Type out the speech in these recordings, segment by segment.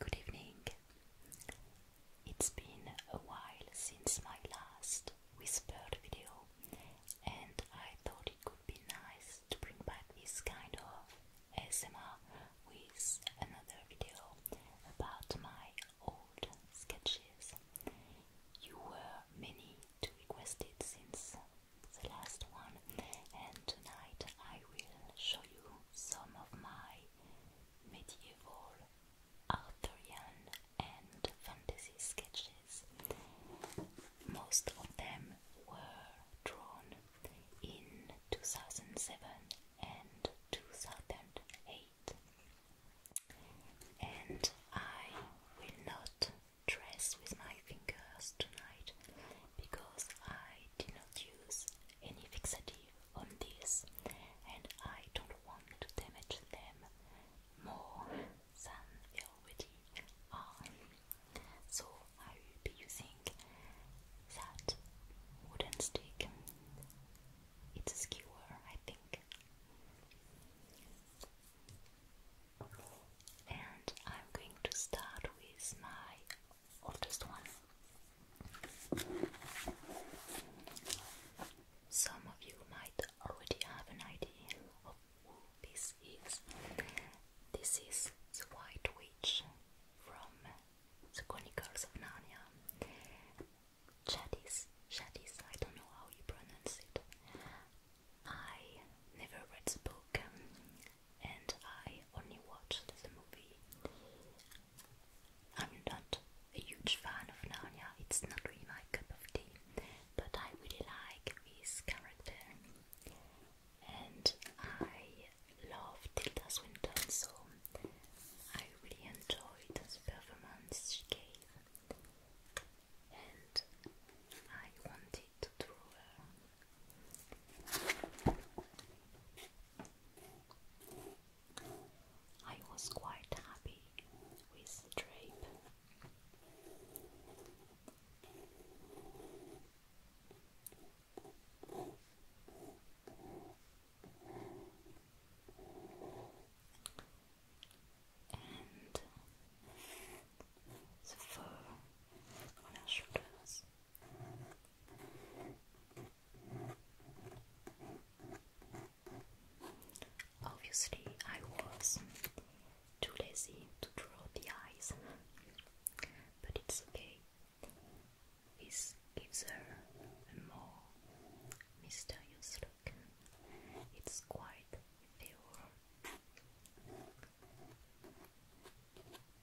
Good evening. It's been a while since my last whispered video, and I thought it could be nice to bring back this kind of ASMR with another video about my old sketches. You were many to request it since the last one, and tonight I will show you some of my medieval, Arthurian, and fantasy sketches. Most of them were drawn in 2007 and 2008, and I will not. Dress with my fingers tonight, because I did not use any fixative on this and I don't want to damage them more than they already are. So I will using that wooden stick. It's a skewer, I think. And I'm going to start with my of just one. Some of you might already have an idea of who this is. This is the White Witch from the Chronicles of Narnia. Chadis, Chadis, I don't know how you pronounce it. I never read the book and I only watched the movie. I'm not a huge fan of Narnia, it's not really my cup of tea, but I really like his character. And I love Tilda Swinton, so I really enjoyed the performance she gave. And I wanted to draw I was quite happy with the drape. And the fur on our shoulders Obviously, I was too lazy to draw the eyes, but it's okay. This gives her a more mysterious look. It's quite ethereal.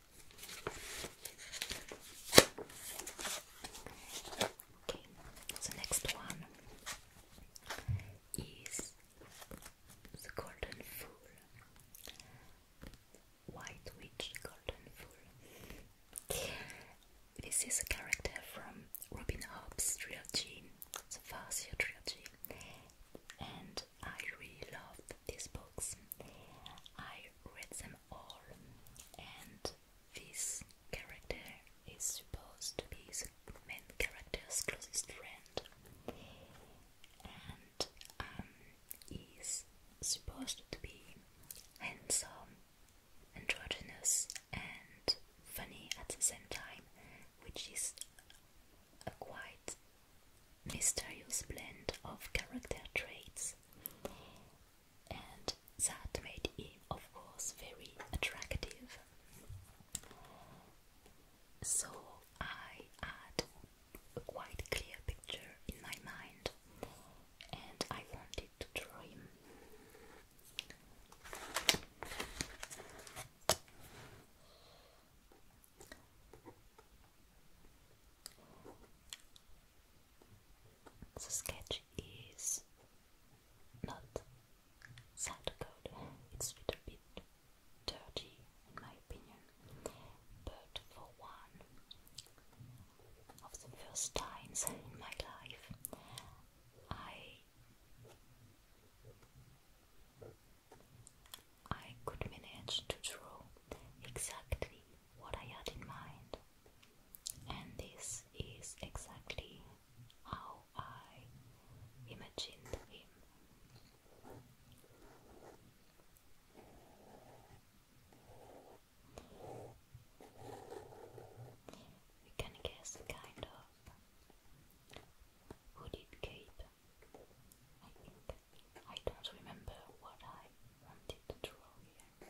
Okay, next one is the golden fool. White Witch Golden Fool. This is a character from Robin Hobb's trilogy, the Farseer trilogy, and I really loved these books. I read them or and this character is supposed to be the main character's closest friend and um, is supposed to be handsome, androgynous and funny at the same time, which is a quite mysterious blend of character traits. And that made him, of course, very attractive. So I had a quite clear picture in my mind, and I wanted to draw him. The sketch is not sad code, it's a bit dirty in my opinion, but for one of the first times in my life, I I could manage to draw exactly what I had in mind. And this is exactly how I imagined it. You can guess kind of who did I think. I don't remember what I wanted to draw here.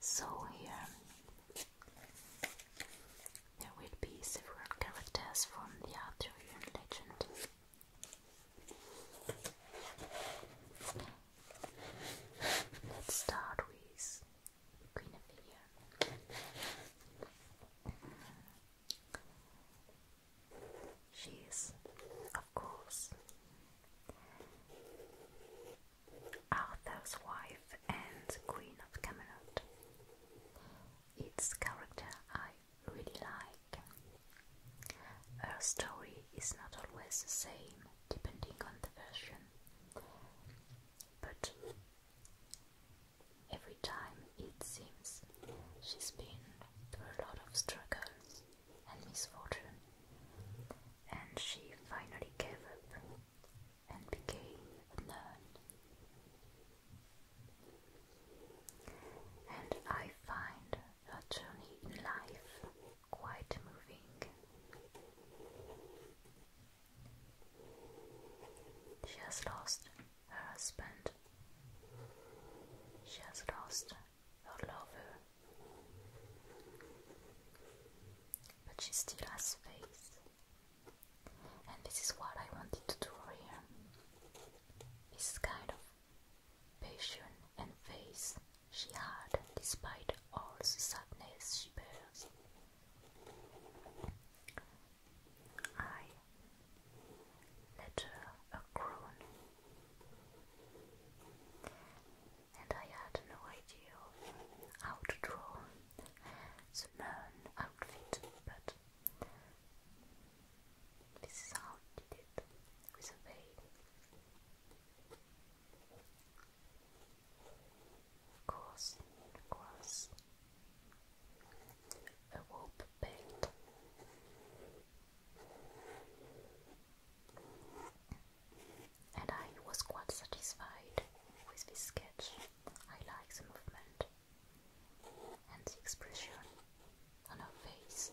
So here there will be several characters from the Arthurian legend. Let's start with Queen Guinevere. She is, of course, Arthur's wife and Queen of Camelot. Its character I really like. Her story is not always the same depending on the version, but every time, it seems. She's been through a lot of struggles and misfortune, and she finally gave up and became a nun. And I find her journey in life quite moving. She has lost her husband. She has lost her lover, but she still has faith, and this is what I wanted to do here. This kind of passion and faith she had, despite all the sadness she bears. I later uh, a crown. And I had no idea how to draw the nun outfit, but this is how I did it with a veil. Cross, cross, a rope and I was quite satisfied with this sketch. I like the movement and the expression on her face.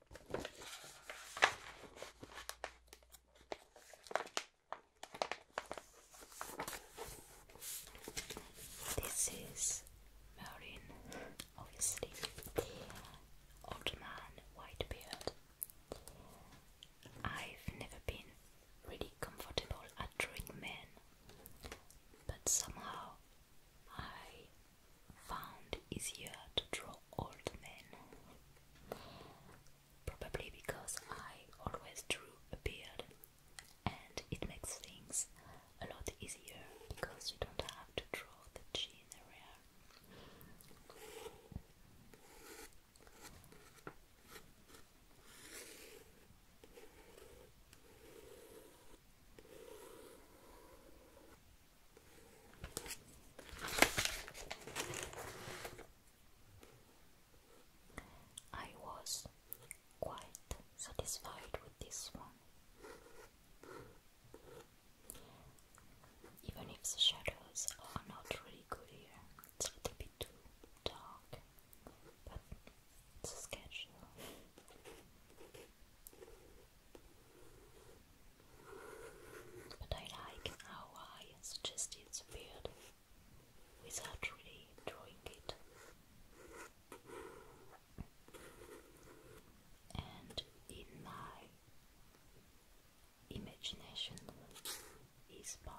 This is Merlin, obviously, old man, white beard. I've never been really comfortable drawing men, but somehow I found easier to draw old men. Probably because I always drew a beard and it makes things a lot easier because you don't have to draw the chin area. I was quite satisfied with this one. Even if the shadows are not really good here, it's a little bit too dark, but it's a sketch but I like how I suggested the beard without really drawing it. And in my imagination is part.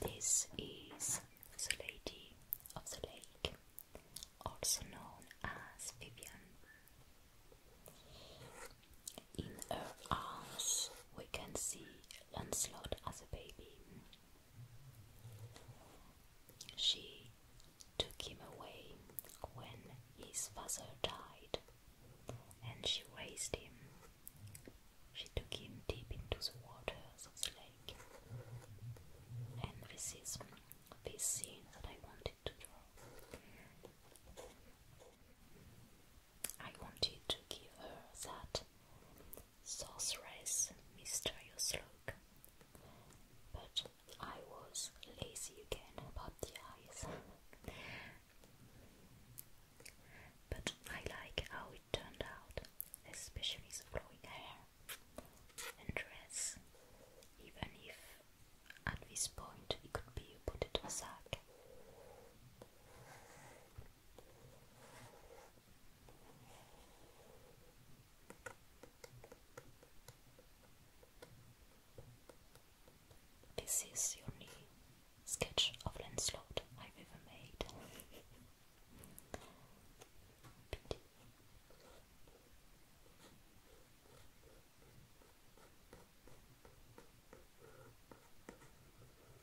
This is the Lady of the Lake, also known as Vivian. In her arms, we can see Lancelot as a baby. She took him away when his father died, and she raised him. She took him deep into the waters of the lake. And this is this scene that I wanted to draw. I wanted to give her that sorceress, mysterious look. But I was lazy again about the eyes. but I like how it turned out, especially the flowing hair and dress, even if at this point it could be a potato sack. This is the only sketch of Lancelot I've ever made.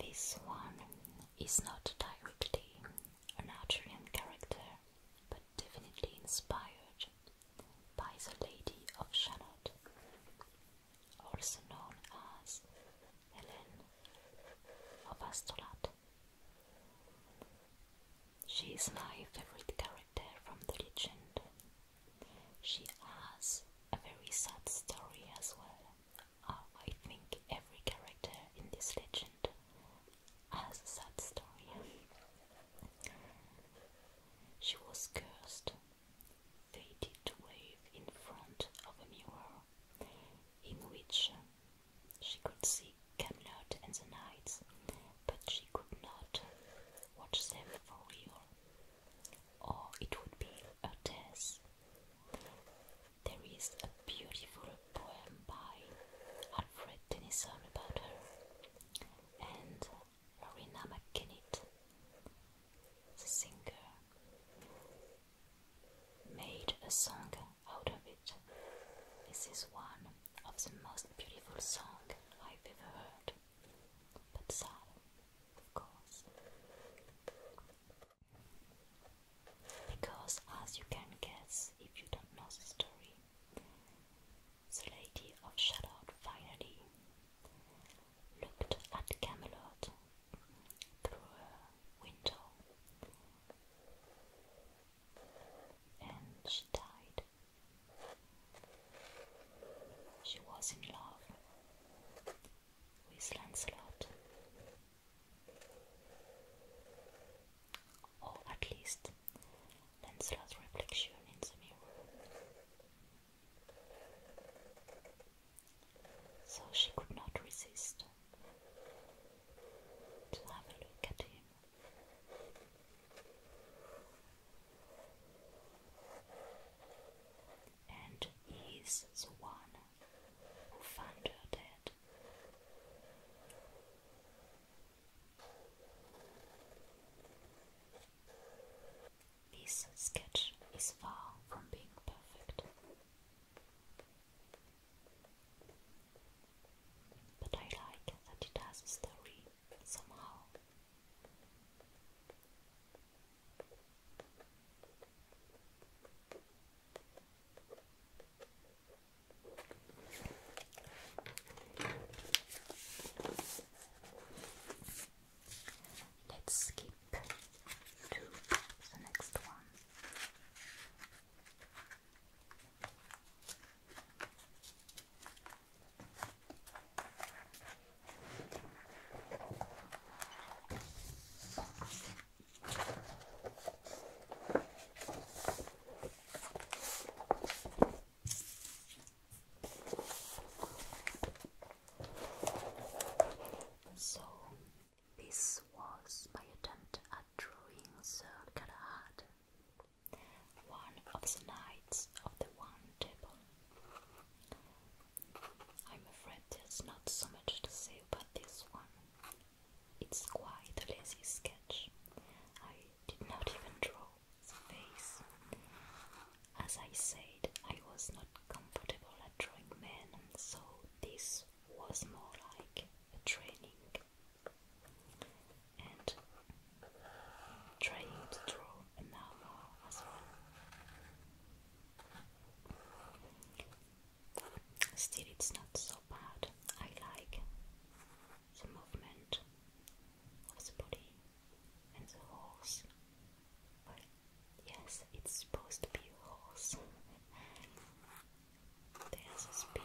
This one is not directly an Arthurian character, but definitely inspired by the Lady of Shalott, also known as Helen of Astolat. She is my favorite character from the legend. She has a very sad story as well. Uh, I think every character in this legend has a sad story. She was cursed. They to wave in front of a mirror in which she could see Camelot and the knights, but she could not watch them for real, or it would be a death. There is a beautiful poem by Alfred Tennyson about her, and Lorena McKennitt, the singer, made a song out of it. This is one of the most beautiful song I've ever heard. But sad, of course. Because, as you can guess if you don't know the story, the Lady of Shalott finally looked at Camelot through a window and she died. She was in love with Lancelot, or at least Lancelot's reflection in the mirror. So she could not resist to have a look at him. And he the one who found her dead. This sketch is far from being perfect. But I like that it has a story somehow. Let's skip to the next one. So, this was my attempt at drawing the Galahad one of the knights of the One Table. I'm afraid there's not so much to say about this one. It's quite a lazy sketch. I did not even draw the face. As I said, I was not comfortable at drawing men, so this was more like a training and trying to draw an as well. Still, it's not so bad. I like the movement of the body and the horse. yes, it's supposed to be a horse. There's a spear.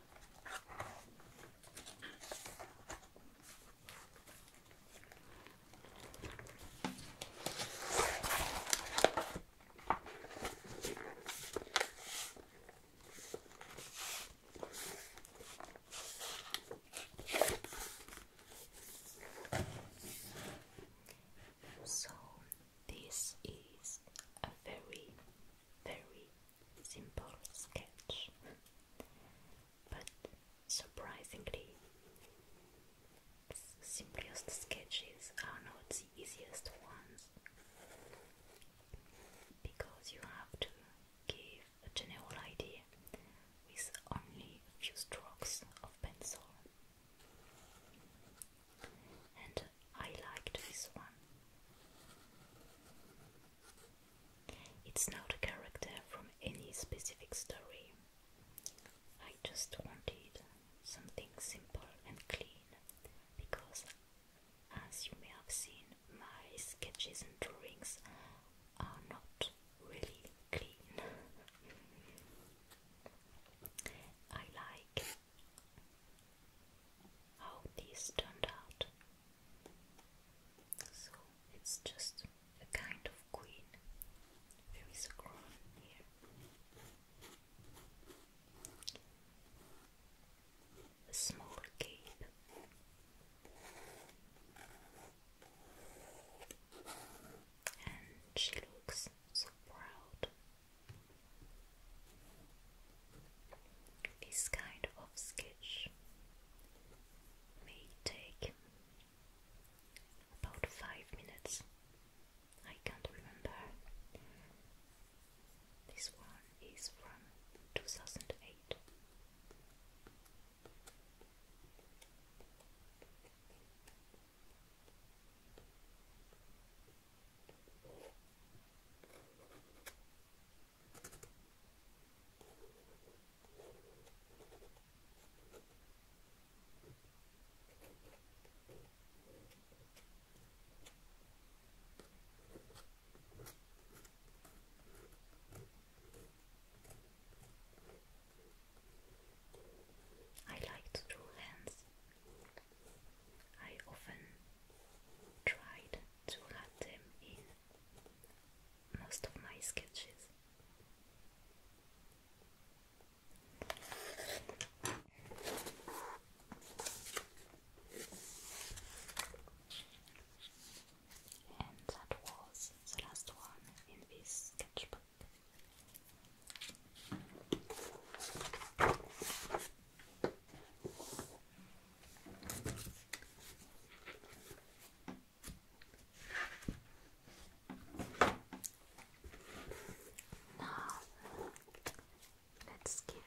So, this is a very very simple sketch, but surprisingly, simplest sketches are not the easiest ones because you have to give a general idea with only few strokes of pencil. And I liked this one. It's not a character from any specific story. I just wanted something simple and clean because, as you may have seen, my sketches and drawings are not really clean. I like how this turned out so it's just a kind of queen. There is a crown here. A small cape. And she looks so proud this kind of sketch may take about five minutes. I can't remember. This one is from 2008. I like to draw hands. I often tried to add them in most of my sketches. And that was the last one in this sketchbook. Now, let's skip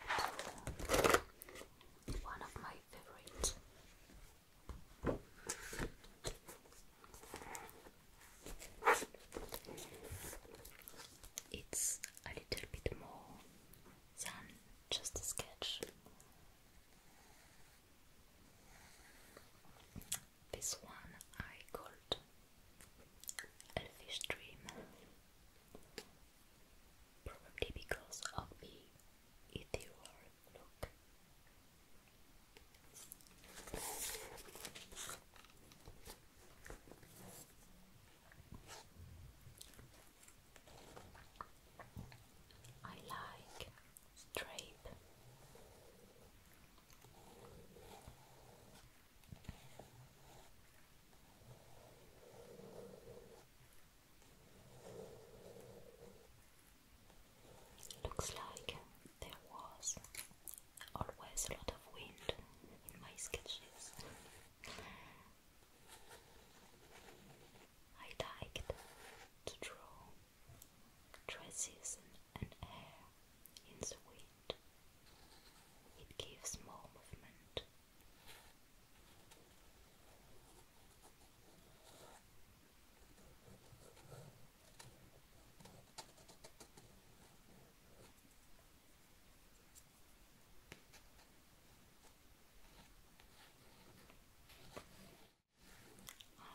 one of my favorite. It's a little bit more than just a sketch. This one I called Elfish Dream, probably because of the ethereal look. I like straight. Looks like there was always a lot of wind in my sketches. I liked to draw dresses and hair in the wind. It gives more movement.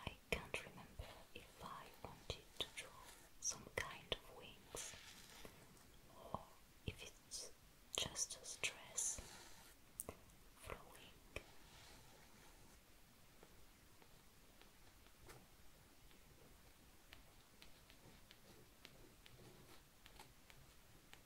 I can't remember if I wanted to draw some kind of wings or if it's just a dress flowing. I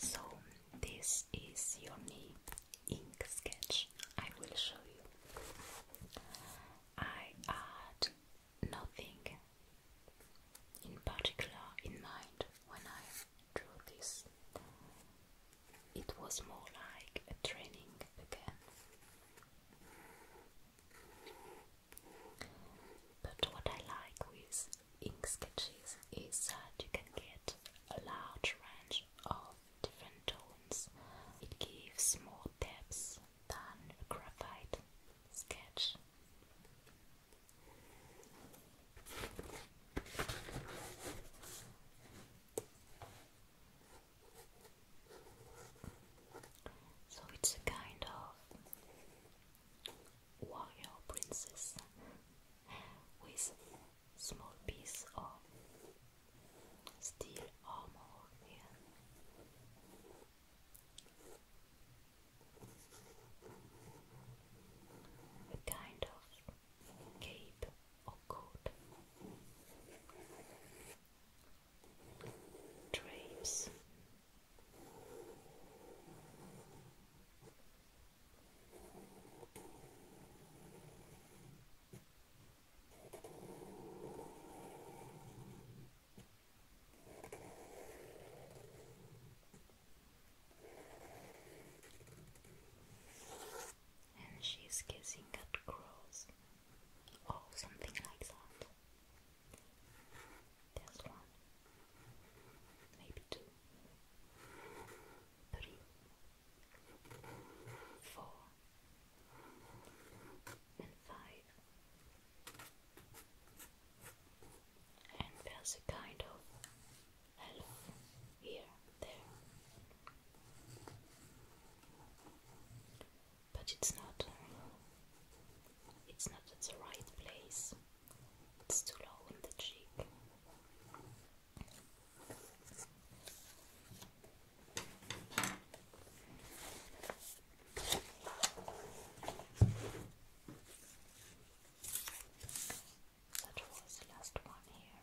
So, this is your knee ink sketch. I will show you. I add nothing in particular in mind when I drew this. It was more like a training again. But what I like with ink sketches is that you can get a large range of different tones. It gives more depth than graphite sketch. So it's a kind of warrior princess with small piece of steel armor here a kind of cape or coat. Drapes. And she's kissing at crows or oh, something like that. There's one, maybe two, three, four, and five and there's a kind of hello here, there. But it's not, it's not at the right place. It's too low on the cheek. That was the last one here.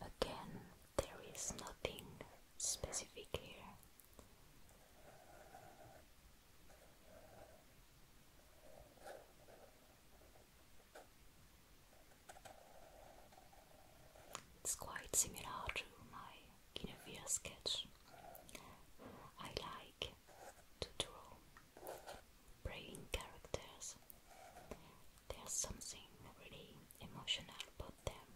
Again, there is nothing specific here. It's quite similar to my Guinevere sketch. I like to draw brain characters. There's something really emotional about them.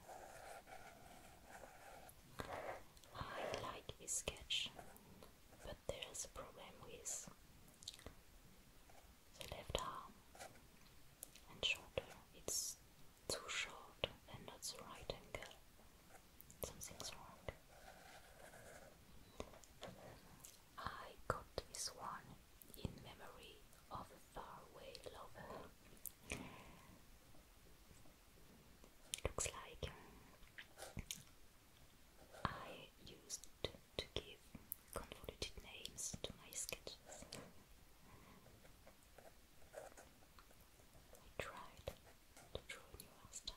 I like his sketch, but there is a problem with the left arm and shoulder. It's too short and not right angle. Something's wrong. I got this one in memory of a faraway lover Looks like I used to give convoluted names to my sketches. I tried to draw a new style.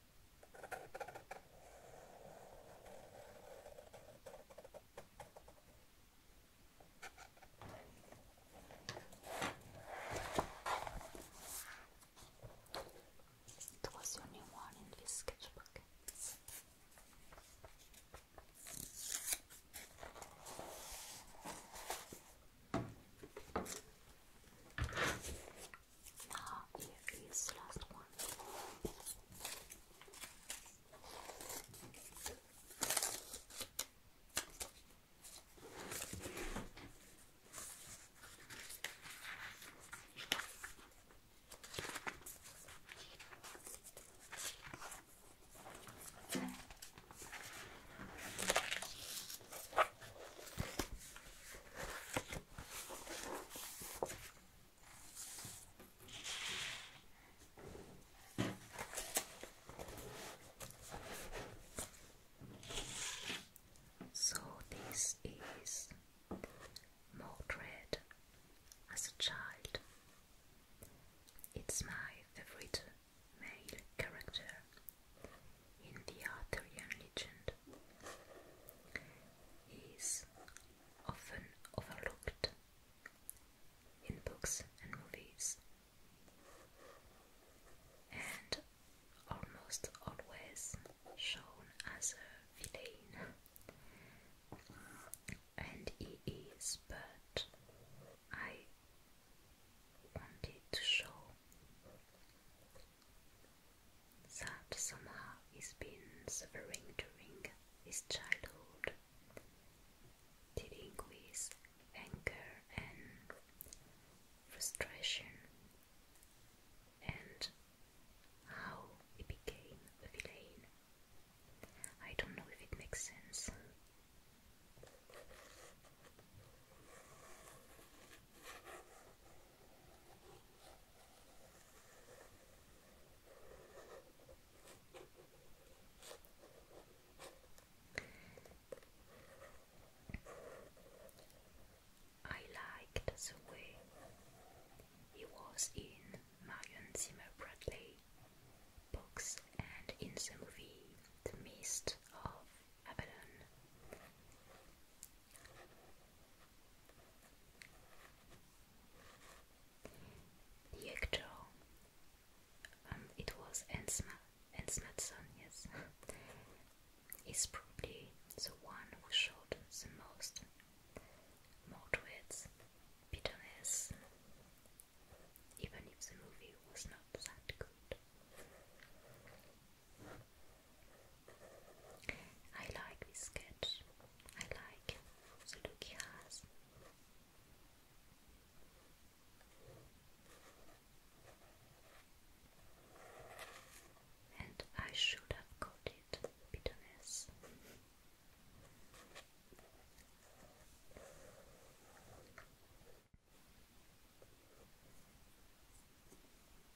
It was the only one in this sketchbook. Now here is the last one. So this is Mordred as a child. It's my favorite male character in the Arthurian legend. He is often overlooked in books and movies, and almost always shown as a villain. And he is, but I wanted to show that somehow he's been suffering during his childhood, dealing with anger and frustration, and how he became a villain. I don't know if it makes sense. I liked the way he was in Marion Zimmer Bradley books and in the movie The Mist of Avalon. The um, it was Ensma, Ensmatson, yes, is probably the one who showed the most Mordred's bitterness, even if the movie was not that good. I like this sketch. I like the look he has. And I should have got it bitterness.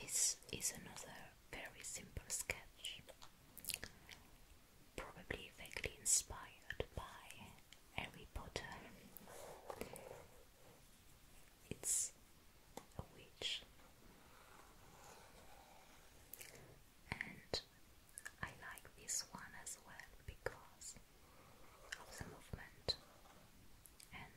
This is another very simple sketch, probably vaguely inspired by Harry Potter it's a witch. And I like this one as well because of the movement, and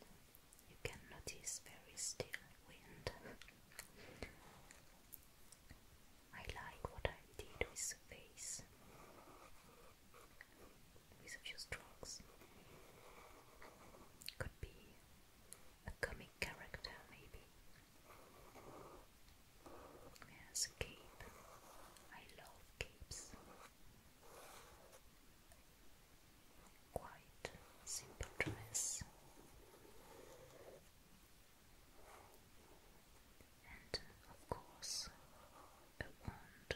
you can notice very still wind. I like what I did with the face, with a few strokes. Could be a comic character, maybe. There's cape. I love capes. Quite simple dress. And of course, a wand.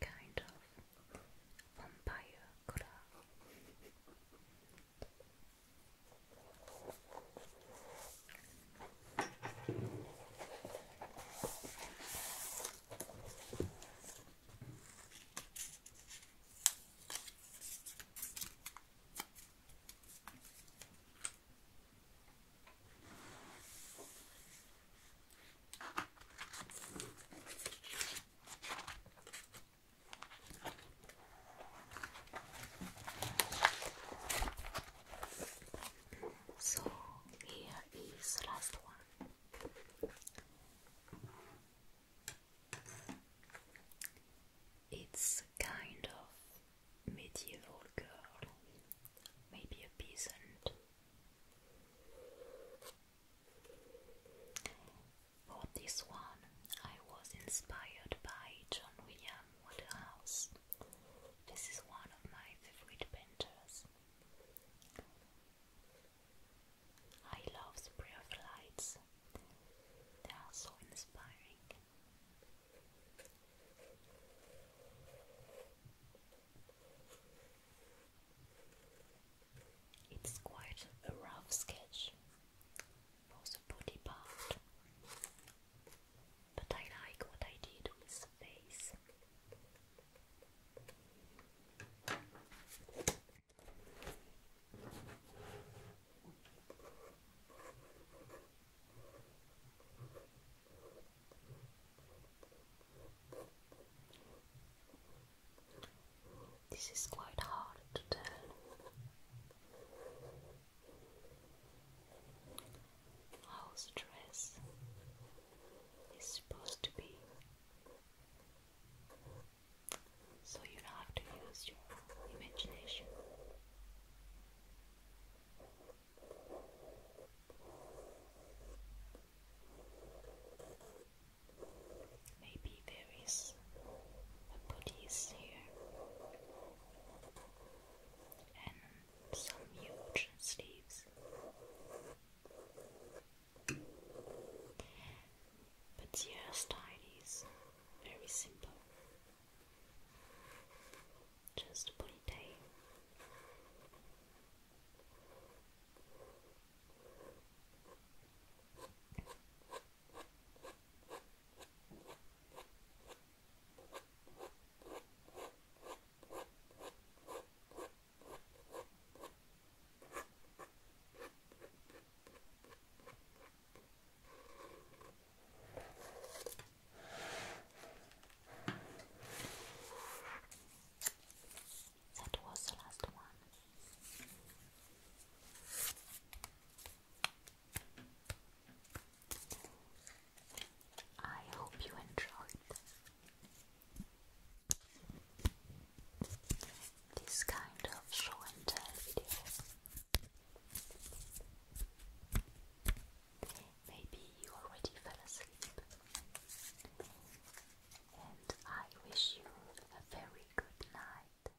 Kind of vampire colour. So here is last one. It's kind of medieval girl, maybe a peasant. For this one, I was inspired by John William Waterhouse. This is one of my favorite painters. I love spray of lights. They are so inspiring. It's quite a rough sketch for the body part, but I like what I did with the face. This is quite hard to tell. How stress is supposed to be so you have to use your imagination. Maybe there is a Buddhist here and some huge sleeves. But the hairstyle is very simple. Just ponytail. That was the last one. I hope you enjoyed. This kind of show and tell video. Maybe you already fell asleep, and I wish you a very good night.